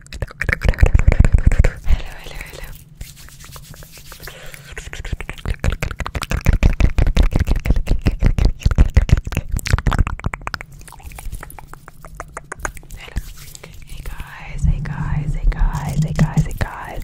Hello, hello, hello. Hello. Hey guys, hey guys, hey guys, hey guys, hey guys.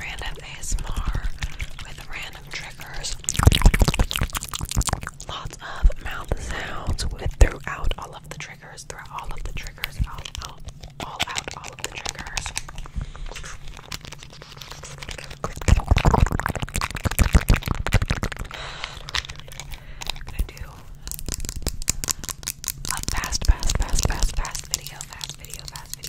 random ASMR with random triggers. Lots of mouth sounds with throughout all of the triggers, throughout all of the triggers, out, out, all out, all of the triggers. I'm gonna do a fast, fast, fast, fast, fast video, fast video, fast video.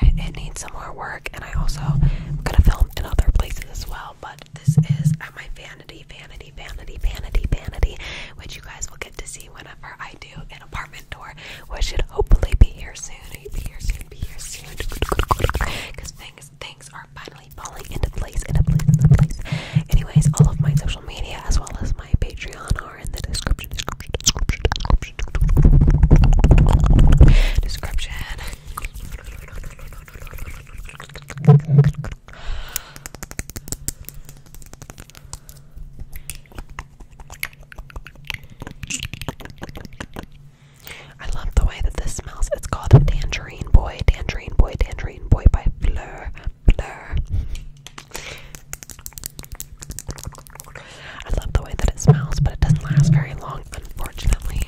I, it needs some more work, and I also am gonna film in other places as well. But this is at my vanity, vanity, vanity, vanity, vanity, which you guys will get to see whenever I do an apartment tour, which should hopefully be here soon. Be here soon. Be here soon. Because things things are finally falling into place, into place, into place. Anyways, all of my social media as well as my Patreon I love the way that this smells. It's called Tangerine Boy, Tangerine Boy, Tangerine Boy by Fleur I love the way that it smells, but it doesn't last very long, unfortunately.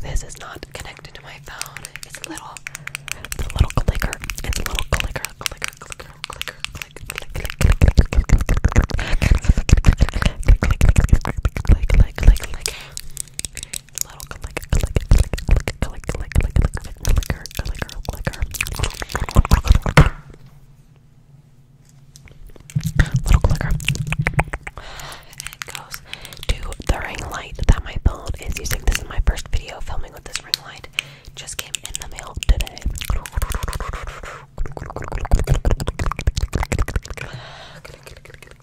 This is not connected to my phone. It's a little, it's a little clicker. It's a little clicker, clicker, clicker, clicker, clicker, clicker, clicker, clicker, clicker, clicker, click, click, click, click, click, click, click, click, click little click, click, click, click, click, click, click, click, clicker, clicker, clicker. Little clicker. And it goes to the ring light that my phone is using. This is my first video filming with this ring light. Just came in the mail today.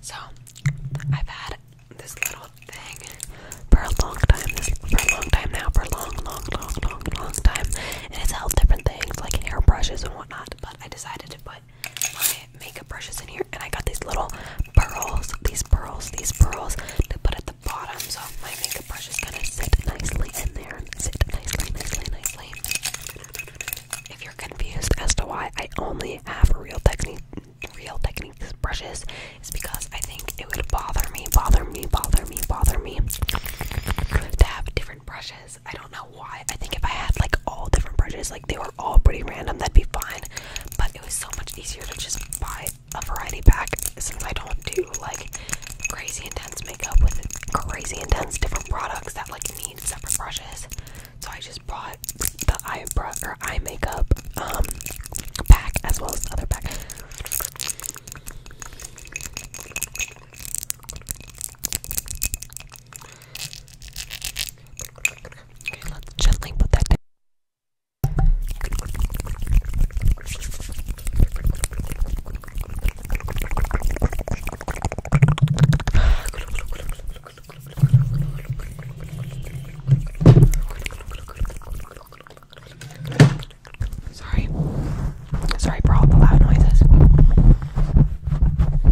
So, I've had this little thing for a long time, for a long time now, for a long, long, long, long, long time, and it's held different things like hairbrushes and whatnot. But I decided to put my makeup brushes in here, and I got these little pearls, these pearls, these pearls to put at the bottom, so my makeup brush is gonna sit nicely in there. Sit nicely, nicely, nicely. If you're confused as to why I only have real technique, real techniques brushes, it's because I think it would bother me, bother me, bother me, bother me to have different brushes. I don't know why. I think if I had like all different brushes, like they were all pretty random, that'd be fine. But it was so much easier to just buy a variety pack since I don't do like crazy intense makeup with crazy intense different products that like need separate brushes. So I just bought the eyebrow or eye makeup um pack as well as the other pack. Okay, let's gently put that down. Sorry. Sorry for all the loud noises.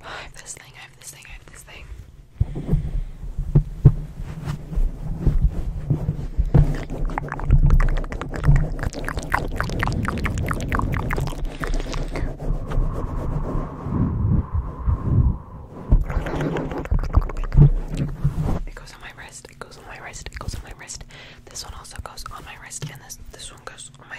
I have this thing, I have this thing, I have this thing. It goes on my wrist, it goes on my wrist, it goes on my wrist. This one also goes on my wrist and this this one goes on my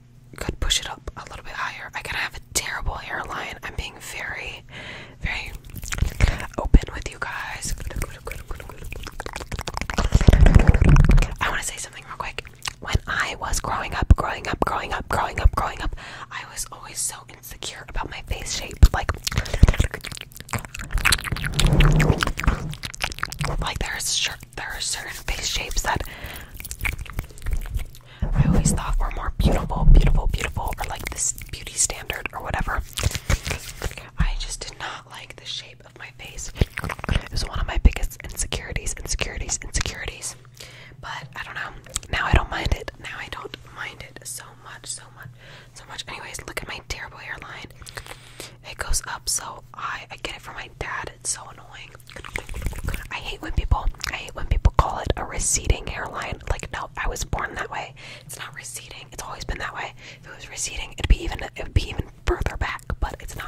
could push it up a little bit higher. I gotta have a terrible hairline. I'm being very, very open with you guys. I want to say something real quick. When I was growing up, growing up, growing up, growing up, growing up, I was always so insecure about my face shape. Like, like there's shirt there are certain face shapes that I always thought were more beautiful, beautiful, beautiful, or like this beauty standard or whatever. I just did not like the shape of my face. It was one of my biggest insecurities, insecurities, insecurities. But I don't know. Now I don't mind it. Now I don't mind it so much, so much, so much. Anyways, look at my terrible hairline. It goes up, so I I get it from my dad. It's so annoying. I hate when people I hate when people call it a receding hairline. Like no, I was born that way. It's not receding. It's always been that way. If it was receding, it'd be even it'd be even further back, but it's not.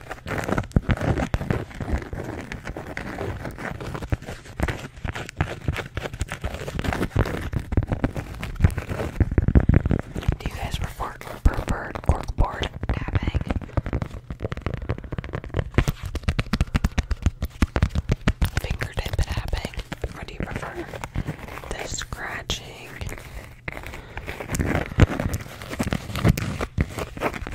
Do you guys report preferred corkboard tapping? Fingertip tapping? Or do prefer the scratching?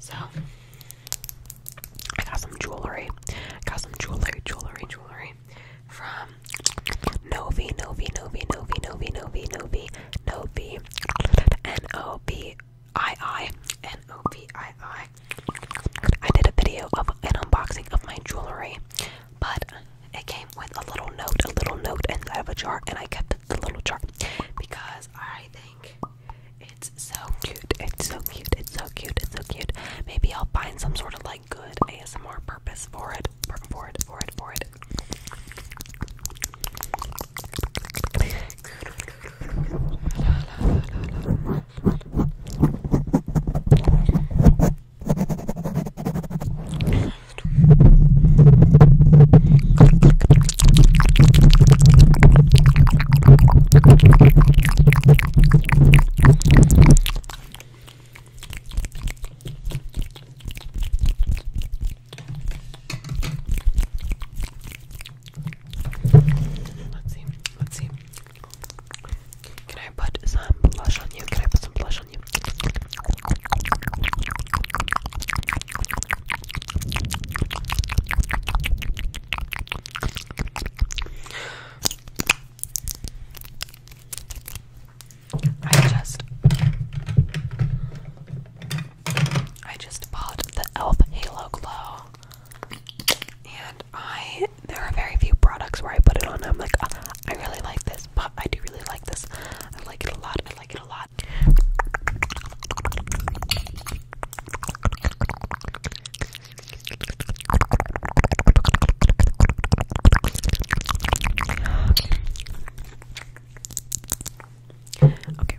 So I got some jewelry. I got some jewelry, jewelry, jewelry from Novi, Novi, Novi, Novi, Novi, Novi, Novi, Novi, N O B I I N O B I I I did a video of an unboxing of my jewelry, but it came with a little note, a little note inside of a jar, and I kept the little jar because I think it's so cute. It's so cute. It's so cute. It's so cute. Maybe I'll find some sort of like good ASMR purpose for it. For it. For it. For it. Let's see. Let's see. Can I put some blush on you? Can I put some blush on you? I just I just bought the Elf Halo Glow and I, there are very few products where I put it on. I'm like, ah, I really like this, but I do really like this. I like it a lot. I like it a lot. Okay,